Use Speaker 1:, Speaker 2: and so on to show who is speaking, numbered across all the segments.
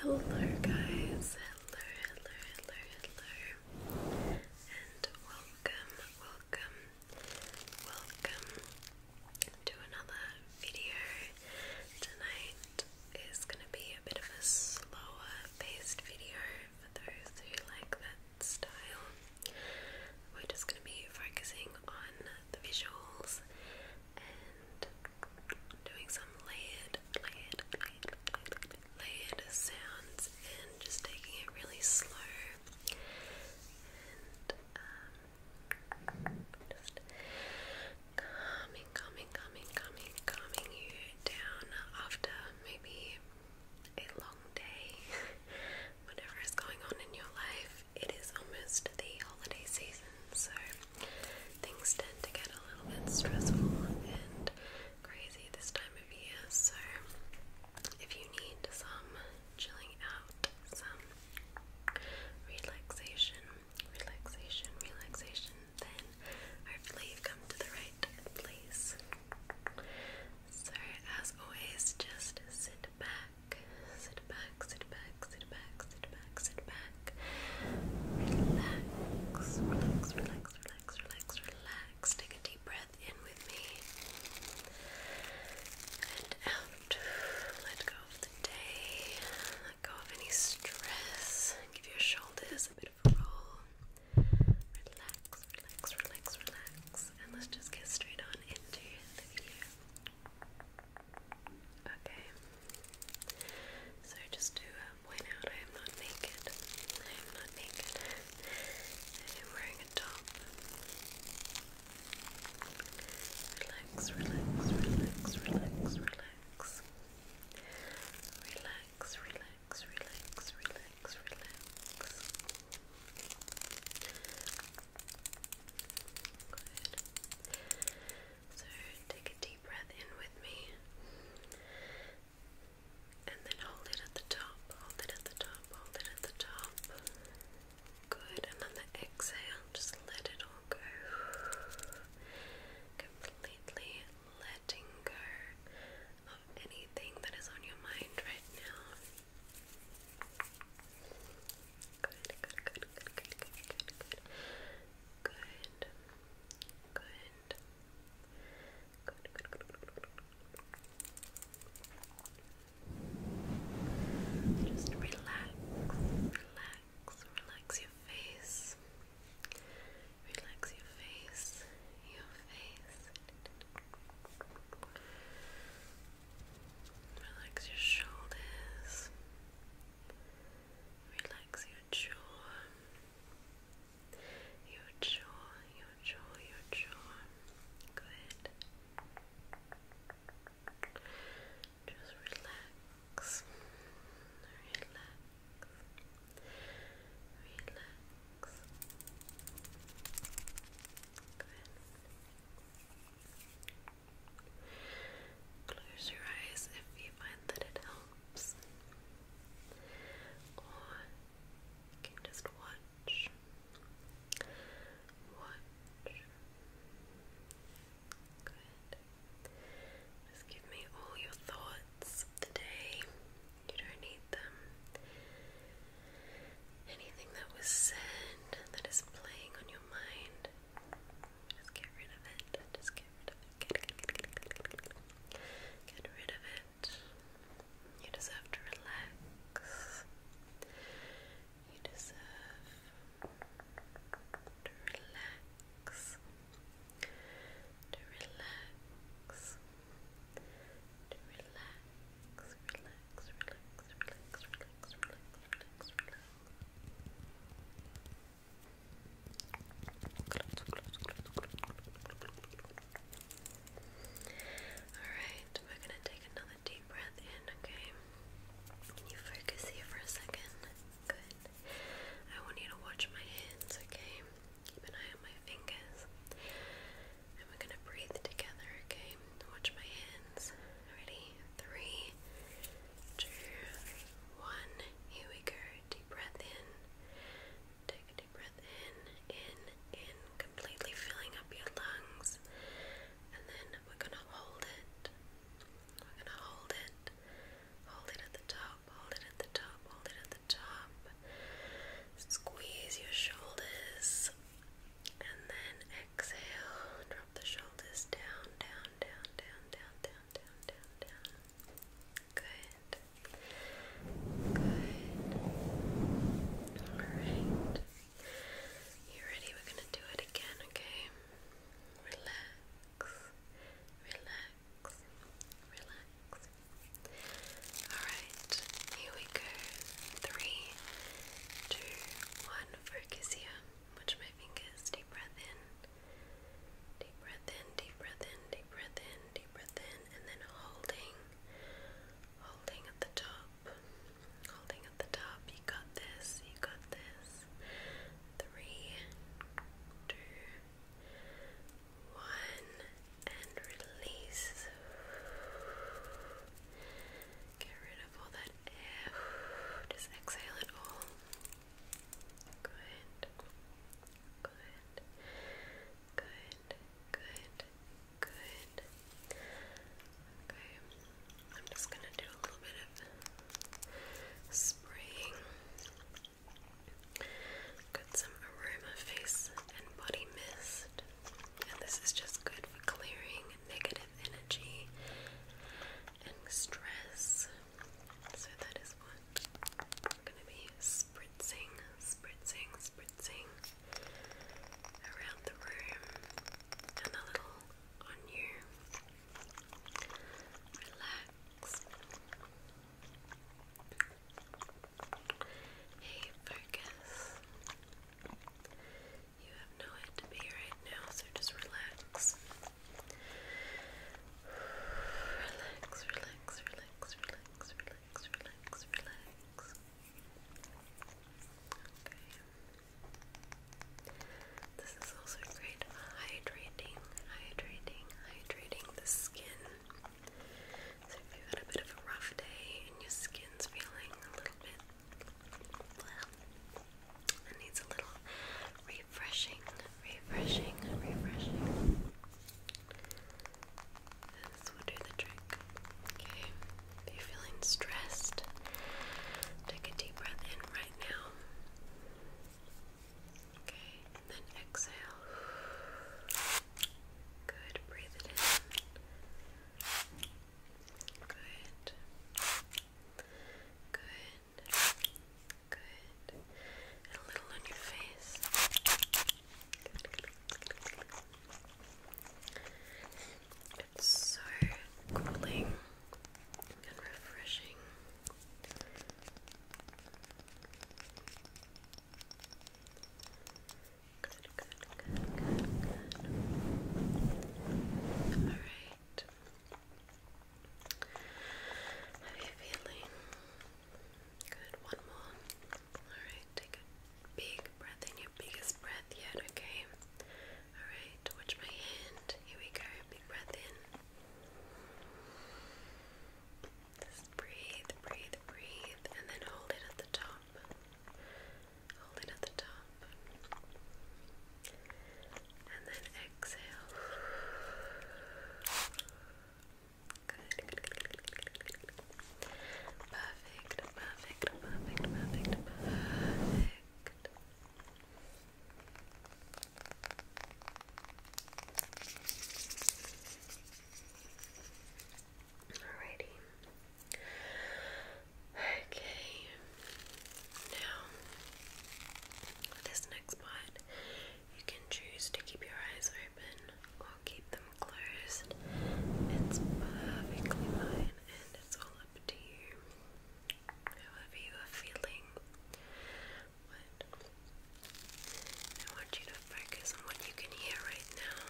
Speaker 1: Hello, guys. Hello, hello, hello, hello. And welcome, welcome, welcome to another video. Tonight is gonna be a bit of a slower paced video for those who like that style. We're just gonna be focusing on the visuals and doing some layered, layered, layered, sounds and just taking it really slow um, calming, calming, calming, calming, calming you down after maybe a long day. Whatever is going on in your life, it is almost the holiday season, so things tend to get a little bit stressful and crazy this time of year. So, if you need some chilling out, some relaxation, relaxation, relaxation. Then I hopefully you've come to the right place. So as always, just sit back, sit back, sit back, sit back, sit back, sit back. Relax, relax, relax, relax, relax, relax. Take a deep breath in with me and out. Let go of the day. Let go of any stress. Give your shoulders a bit of roll. Relax, relax, relax, relax. And let's just get straight on into the video. Okay. So just to uh, point out, I am not naked. I am not naked. I am wearing a top. Relax, relax, relax, relax, relax relax. Relax, relax, relax, relax, Good. So take a deep breath in with me. And then hold it at the top, hold it at the top, hold it at the top. Good. And on the exhale, just let it all Completely letting go of anything that is on your mind right now. Good, good, good, good, good, good, good, good. Good. Good. Just relax, relax your face, relax your face, your face, relax your shoulders, relax your jaw, your jaw, your jaw, your jaw, good. Just relax, relax, relax. Close your eyes if you find that it helps, or you can just watch. Watch. Good. Just give me all your thoughts of the day. You don't need them. Anything that was said that is playing on your mind, just get rid of it. Just get rid of it. Get, rid of it. You deserve to relax. You deserve to relax, to relax, to relax, relax, relax, relax, relax, relax, relax, relax. Alright, we're going to take another deep breath in, okay? Can you focus here for a second? Good. I want you to watch my hands, okay? Keep an eye on my fingers. And we're gonna breathe together, okay? Watch my hands. Ready? Three, two, one. Here we go. Deep breath in. Take a deep breath in, in, in, completely filling up your lungs. And then we're gonna hold it. We're going to hold it. Hold it at the top, hold it at the top, hold it at the top. Squeeze your shoulders and then exhale. Drop the shoulders down, down, down, down, down, down, down, down, down. Good. Good. Alright. You ready? We're gonna do it again, okay? relax, relax, relax. Alright, here we go. Three, two, one, focus here. Watch my fingers, deep breath in. Deep breath in, deep breath in, deep breath in, deep breath in, and then holding, holding at the top, holding at the top. You got this, you got this. Three, two, one, and release. Get rid of all that air. Just exhale it all. Good. Good. Good. Good. Good. Okay. I'm just gonna do a little bit of spraying. Got some aroma face and body mist, and this is just good for clearing negative energy and stress. So that is what I'm gonna be spritzing, spritzing, spritzing around the room and a little on you. Relax. Hey, focus. You have nowhere to be right now, so just relax. Relax, relax, relax, relax, relax, relax, relax. This is also great for hydrating, hydrating, hydrating the skin. So if you had a bit of a rough day and your skin's feeling a little bit well, it needs a little refreshing, refreshing, refreshing. This will do the trick. Okay. If you're feeling stressed, take a deep breath in right now. Okay, and then exhale. Good, breathe it in. Good. Good. Good. a little on your face. good, good. It's so cooling and refreshing. Good, good, good, good, Alright. How are you feeling? Good, one more. Alright, take a big breath in, your biggest breath yet, okay? Alright, watch my hand. Here we go. Big breath in. Just breathe, breathe, breathe, and then hold it at the top. Hold it at the top. And then exhale. Good, Alrighty. Okay. Now, this next part, you can choose to keep your eyes open or keep them closed. It's perfectly fine it's all up to you. However you are feeling. But I want you to focus on what you can hear right now.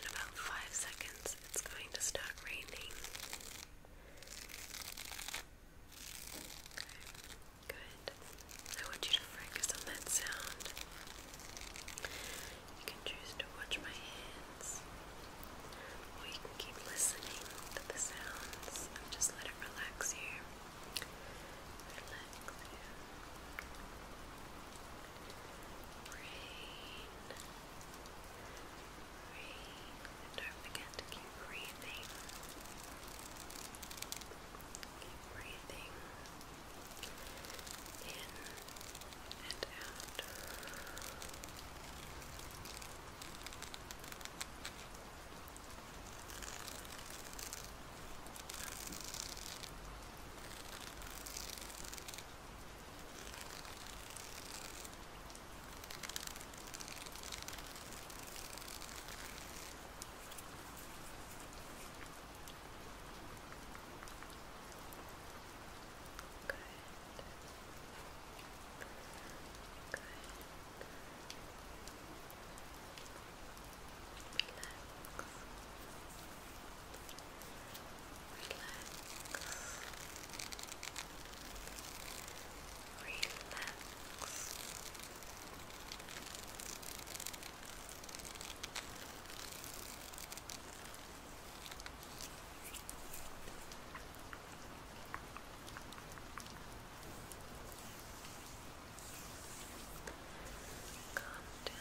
Speaker 1: In about five seconds it's going to start raining. Okay, good. I want you to focus on that sound. You can choose to watch my hands, or you can keep listening to the sounds and just let it relax you. Relax you. Breathe. Breathe. don't forget to keep breathing. Keep Breathing in and out. Good. Good. Good. Relax. Relax. Relax. Calm down, calm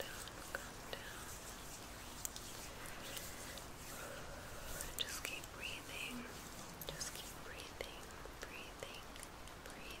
Speaker 1: down, calm down. Just keep breathing. Just keep breathing, breathing, breathing.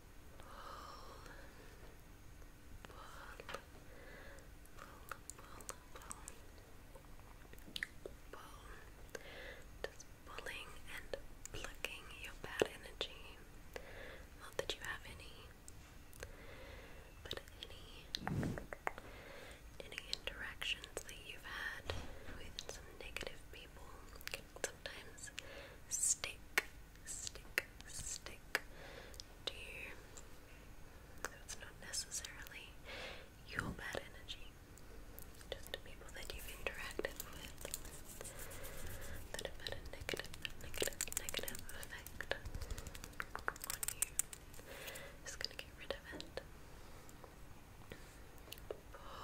Speaker 1: pull. Just pulling and plucking your bad energy. Not that you have any, but any any interactions that you've had with some negative people sometimes stick, stick, stick to you. That's not necessarily your bad energy, just people that you've interacted with that have had a negative, negative, negative effect on you. Just gonna get rid of it. Pull,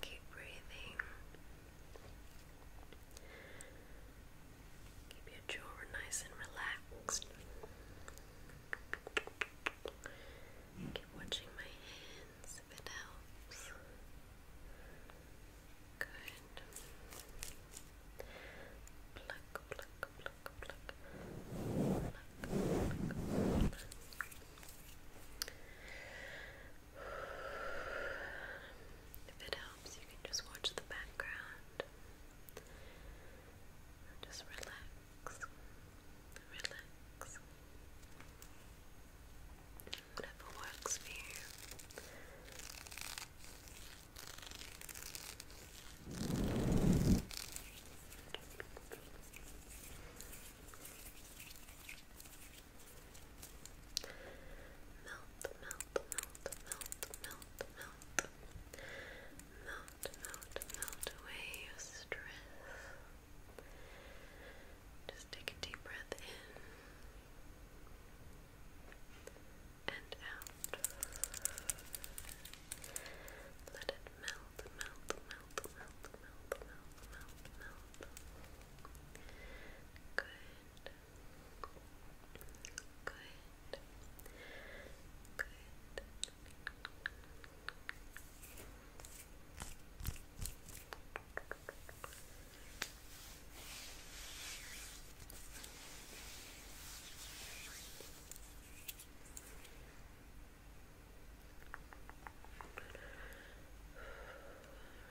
Speaker 1: Keep breathing. Keep your jaw nice and relaxed. Keep watching my hands if it helps. Good. Pluck, pluck, pluck, pluck. Pluck, if it helps, you can just watch the background. Just relax. Relax. Whatever works for you melt, melt, melt, melt, melt. Melt, melt, melt away your stress. Just take a deep breath in and out. Let it melt, melt, melt, melt, melt, melt, melt, melt, melt. Good. Good. Good. Good.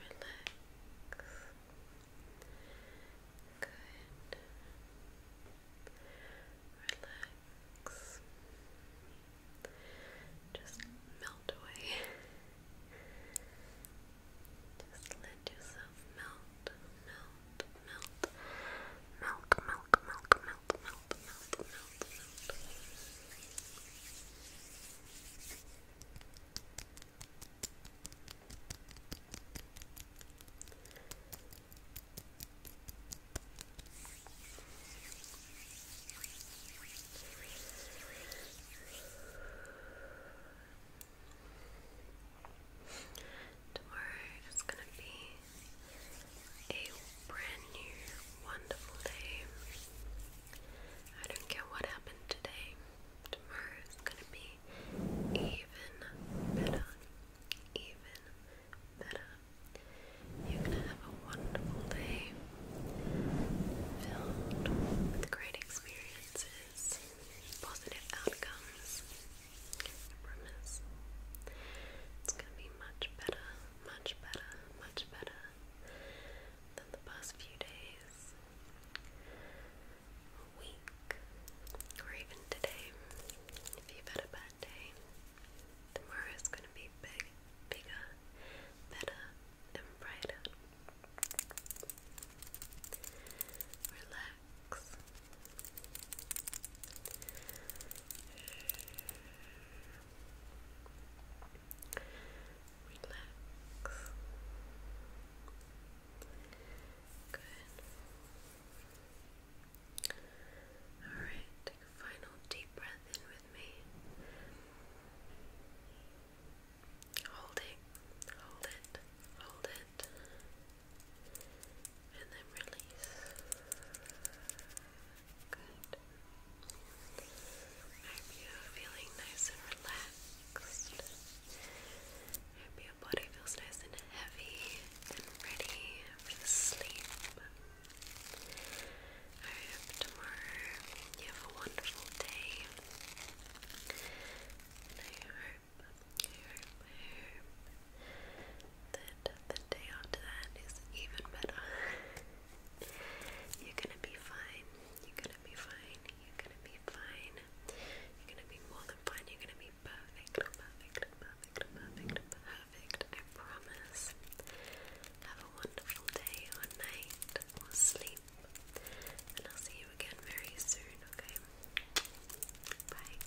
Speaker 1: Relax. Just melt away. Just let yourself melt, melt, melt, melt, melt, melt, melt melt, melt, Tomorrow is going to be a brand new wonderful day. I don't care what happened today, tomorrow is gonna be even better. Even better. You're gonna have a wonderful day filled with great experiences, positive outcomes. I promise. It's gonna be much better much better, much better than the past few days, week, or even today. If you've had a bad day, tomorrow's gonna be bigger, better, and brighter. Relax. Relax. Good. Alright, take a final deep breath in with me. Hold it, hold it, hold it, and then release. I hope you're feeling nice and relaxed. I hope your body feels nice and heavy and ready for sleep. I hope tomorrow you have a wonderful day. I hope, I hope then the day after that is even better. You're gonna be fine. You're gonna be fine. You're gonna be fine. You're gonna be more than fine. You're gonna be perfect. Perfect. Perfect. Perfect. Perfect. I promise. Have a wonderful day or night or sleep. And I'll see you again very soon, okay? Bye.